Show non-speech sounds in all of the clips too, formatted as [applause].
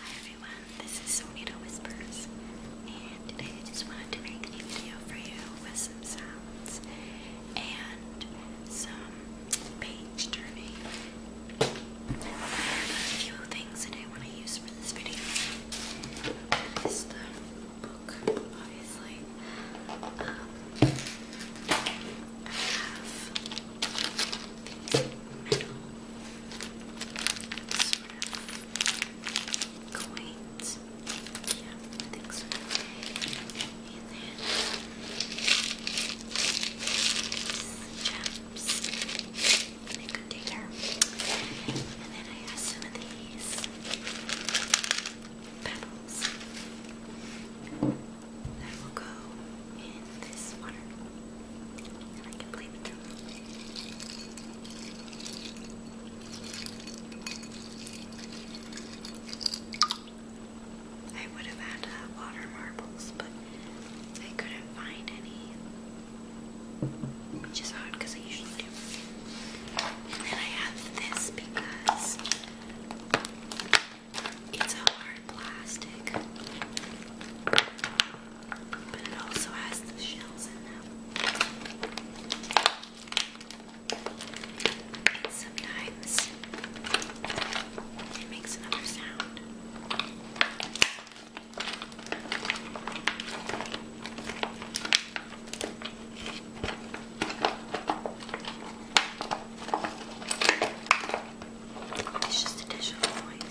Hi everyone, this is Sonita Whispers, and today I just wanted to make a new video for you with some sounds and some page turning. I a few things that I want to use for this video. Is the book, obviously. Um, sort of quaint. Yeah, I think so. And then these chaps in a container. And then I have some of these petals that will go in this water. And I can play with them. I would have had uh, water marbles, but I couldn't find any, which is odd because I usually do. And then I have this because it's a hard plastic, but it also has the shells in them. And sometimes it makes another sound. I it's just a dish of noise.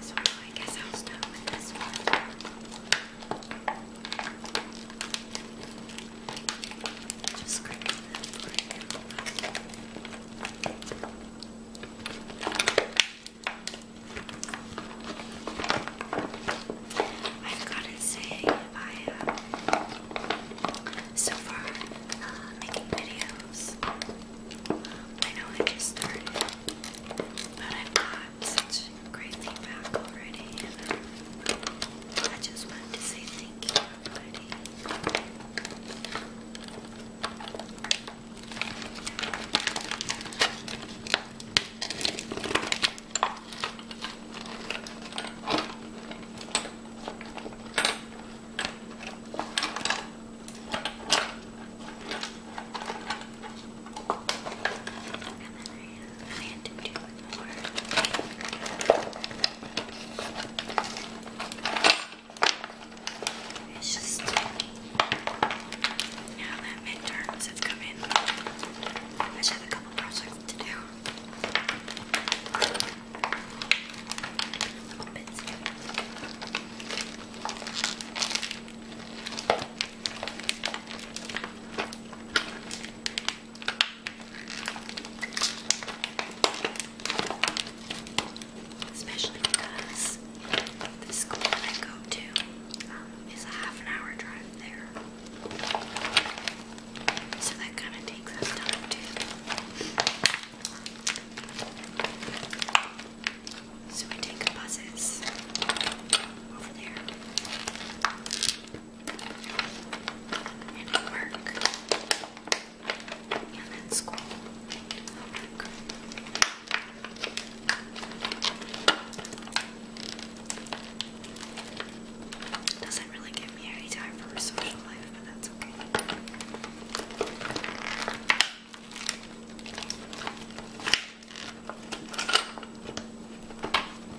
So I guess I'll start with this one. Just grab that for you. I've got to say, I uh, so far uh, making videos. I know I just started, but I've got such great feedback already, and um, I just wanted to say thank you, everybody plan to do more. It's just now that midterms have come in, I just have a couple projects to do. Especially because the school that I go to um, is a half an hour drive there. So that kind of takes us time too. So we take buses over there and at work, and at school, and homework. Doesn't really give me any time for a social life, but that's okay.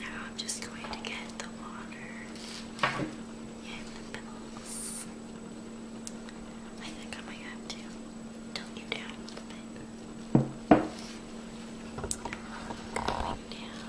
Now I'm just going to get the water and the pills. I think I might have to tilt you down a little bit. Going down.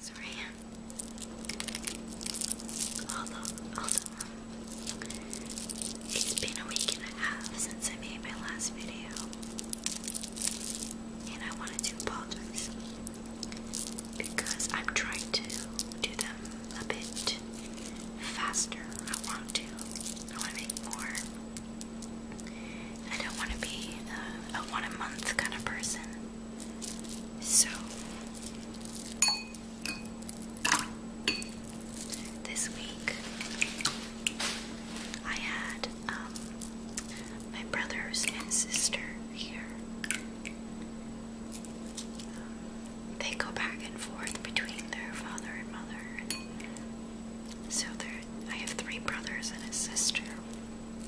Sorry. Although, it's been a week and a half since I made my last video, and I wanted to apologize because I'm trying to do them a bit faster. I want to. I want to make more I don't want to be uh, a, one a month kind of person. So, this week I had um, my brothers and sister here. they go back and forth between their father and mother. So they're I have three brothers and a sister.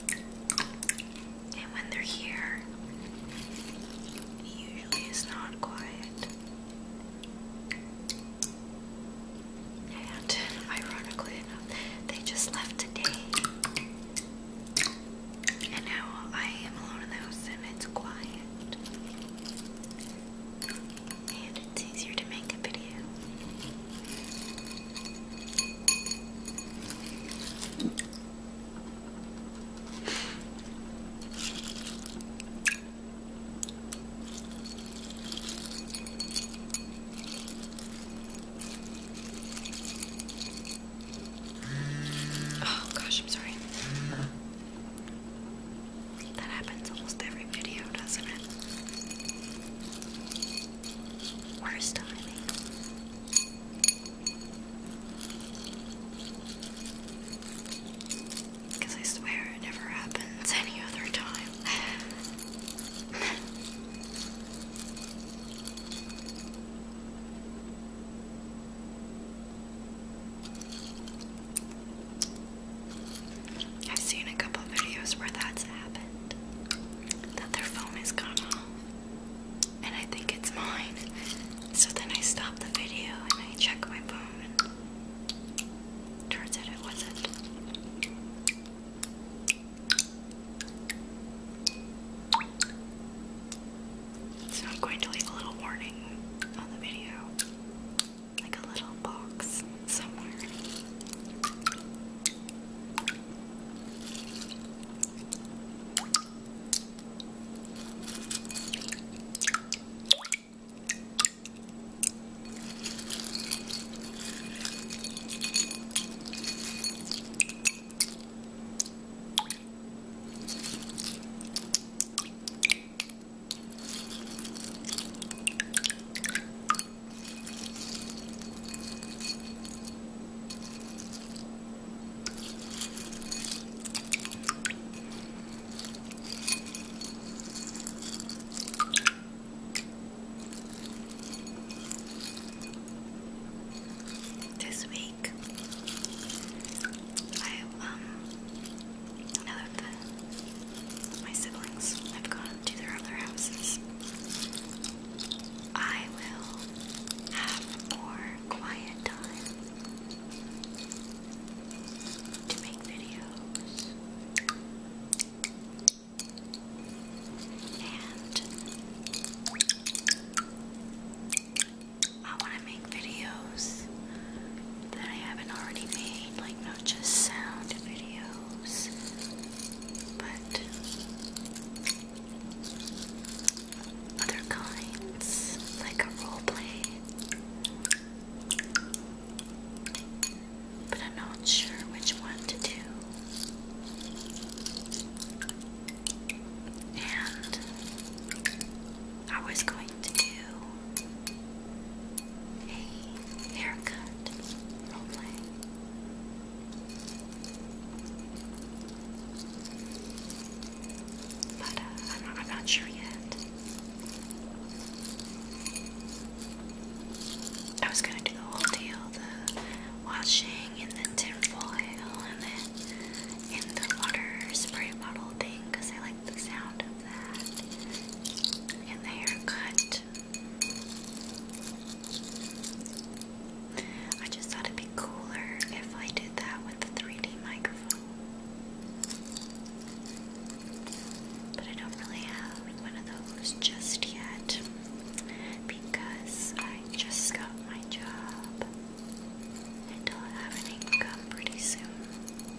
And when they're here, it usually is not quiet. And ironically enough, they just left today. And now I am alone in the house and it's quiet and it's easier to make a video. Oh gosh, I'm sorry. That happens almost every video, doesn't it? Worst timing. Because I swear it never happens any other time. I've seen a couple videos where that's happened. That their phone has gone off. And I think it's mine. So then I stop the video and I check my phone. And turns out it wasn't. So I'm going to leave a little warning on the video like a little box somewhere. This week, I um now that my siblings have gone to their other houses, I will have more quiet time to make videos and I want to make videos that I haven't already made, like not just sound videos but other kinds, like a role play. But I'm not sure which one to do. And I was going to do a haircut roleplay. But uh, I'm, not, sure yet. I was gonna do the whole deal, the washing and the tin foil and then in the water spray bottle thing because I like the sound of the haircut. I just thought it'd be cooler if I did that with the 3D microphone. But I don't really have one of those just yet because I just got my job and I'll have an income pretty soon.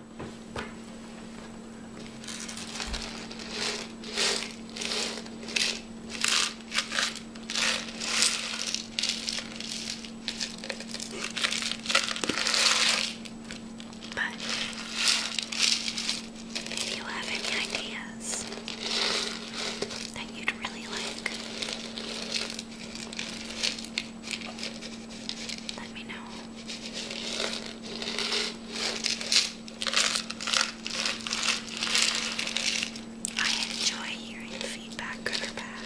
But if you have any ideas that you'd really like, let me know. I enjoy hearing feedback, good or bad.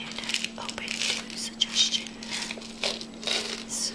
And I'm open to suggestion. So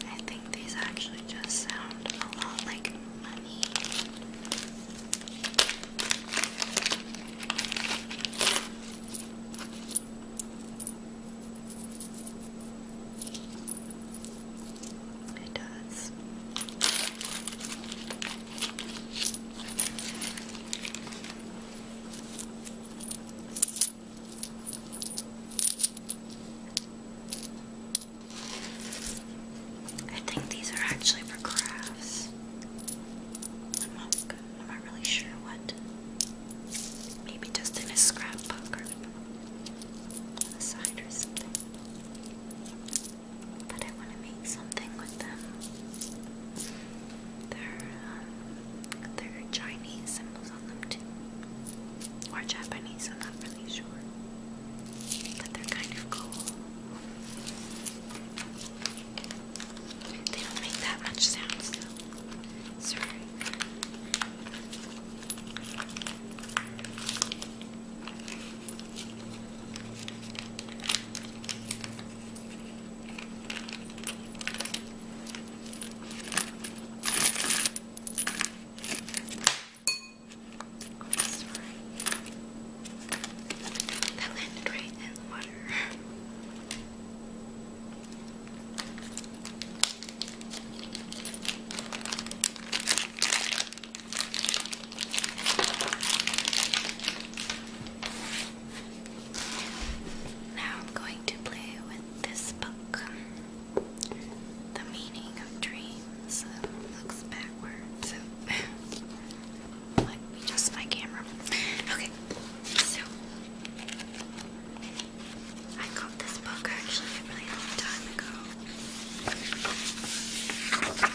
I think these actually just sound a lot like money. It does. I think these are actually for crafts. I'm not really sure what. Maybe just in a scrapbook or on the side or something. But I want to make something with them. They're, um, they're Chinese symbols on them too. Or Japanese, I'm not really sure. But they're kind of cool. They don't make that much sound still. Sorry. Oh, sorry. That landed right in the water water. Now I'm going to play with this book. The meaning of dreams looks backwards. [laughs] Let me just my camera. Okay, so I got this book actually a really long time ago. But um,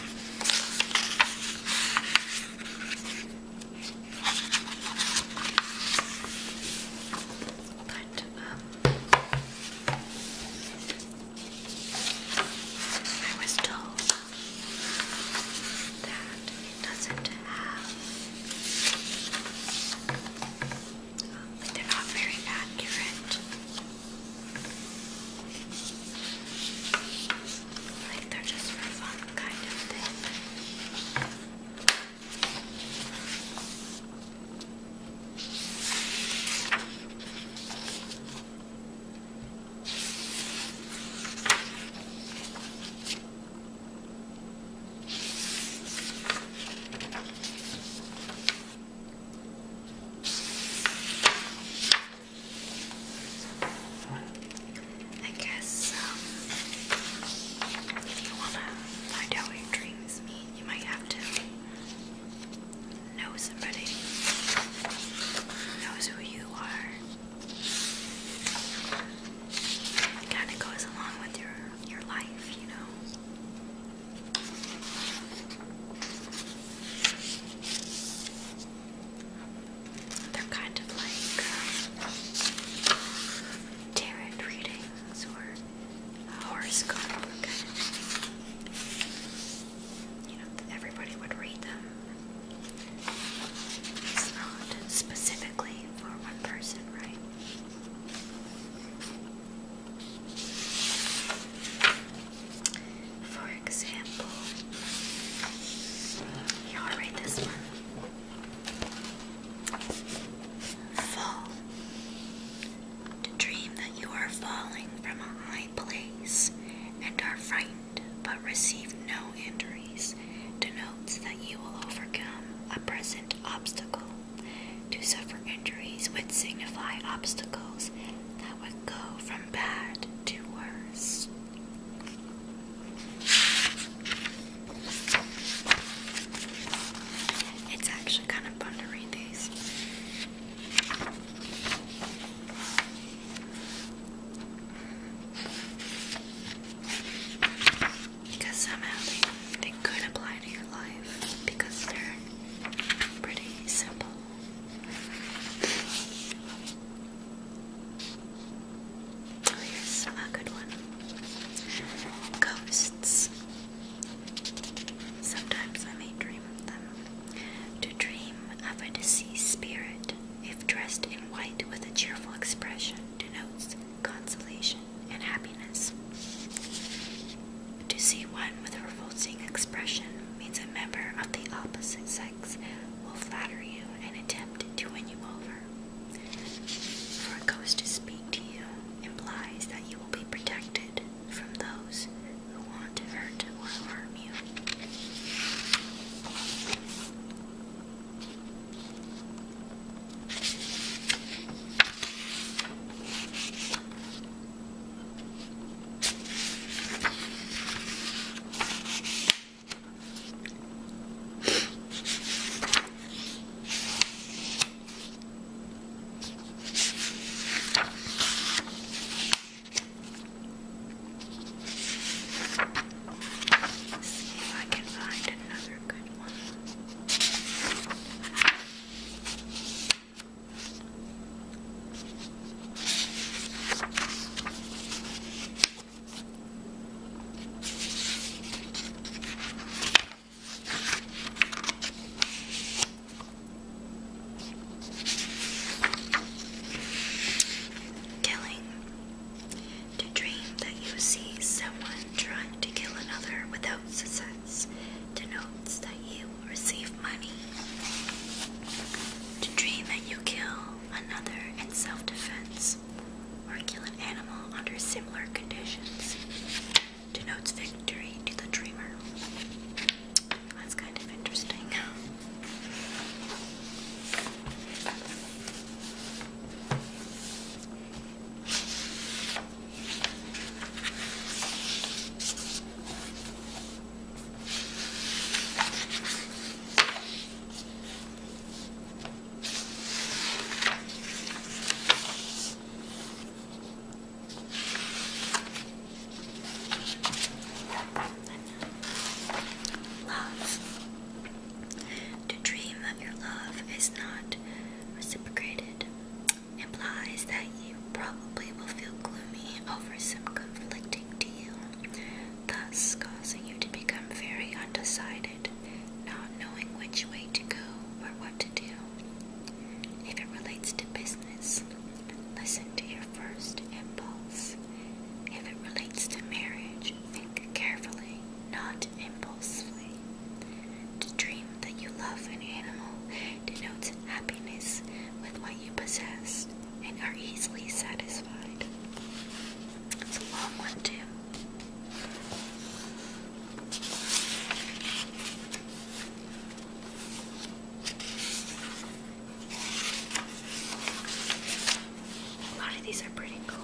I was told that it doesn't have. Um, they're not very accurate. Like they're just for fun kind of thing. I guess um, if you want to find out what dreams mean, you might have to know somebody who knows who you are. It kind of goes along with your your life, you know. They're kind of like um, tarot readings or a you know, everybody would read them it's not specifically for one person, right? For example, you read this one. Fall. To dream that you are falling from a high place and are frightened but receive no injuries denotes that you will overcome a present obstacle. To suffer injuries would signify obstacles that would go from bad to worse. It's actually kind of fun to read these. Because somehow they, they could apply to your life because they're pretty simple. Oh, here's a good one. Ghosts. Sometimes I may dream of them. To dream of a deceased spirit, if dressed in white with a cheerful expression, denotes consolation and happiness. To see one with a revolting expression means a member of the opposite sex will flatter you and attempt to win you over. For a ghost to speak to you implies that you will be protected from those who want to hurt or harm you see if I can find another good one. Killing. To dream that you see someone trying to kill another without success denotes that you will receive money. To dream that you kill another in self defense or kill an animal under similar conditions denotes victory to the dreamer. That's kind of interesting. Love. To dream that your love is not reciprocated implies that you probably will feel gloomy over some conflicting deal, thus causing you to become very undecided, not knowing which way to go or what to do. If it relates to business, Listen to your first impulse. If it relates to marriage, think carefully, not impulsively. To dream that you love an animal denotes happiness with what you possess and are easily satisfied. It's a long one, too. A lot of these are pretty cool.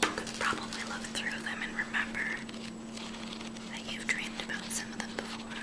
You could probably look through them and remember that you've dreamed about some of them before.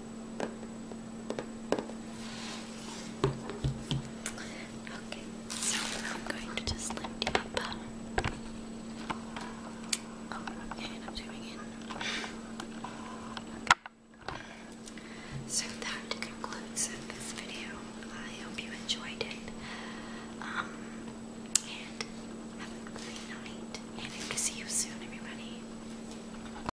Okay, so I'm going to just lift you up. Oh, I'm zooming in. So that concludes this video. I hope you enjoyed it. Um, and have a great night. And I hope to see you soon, everybody.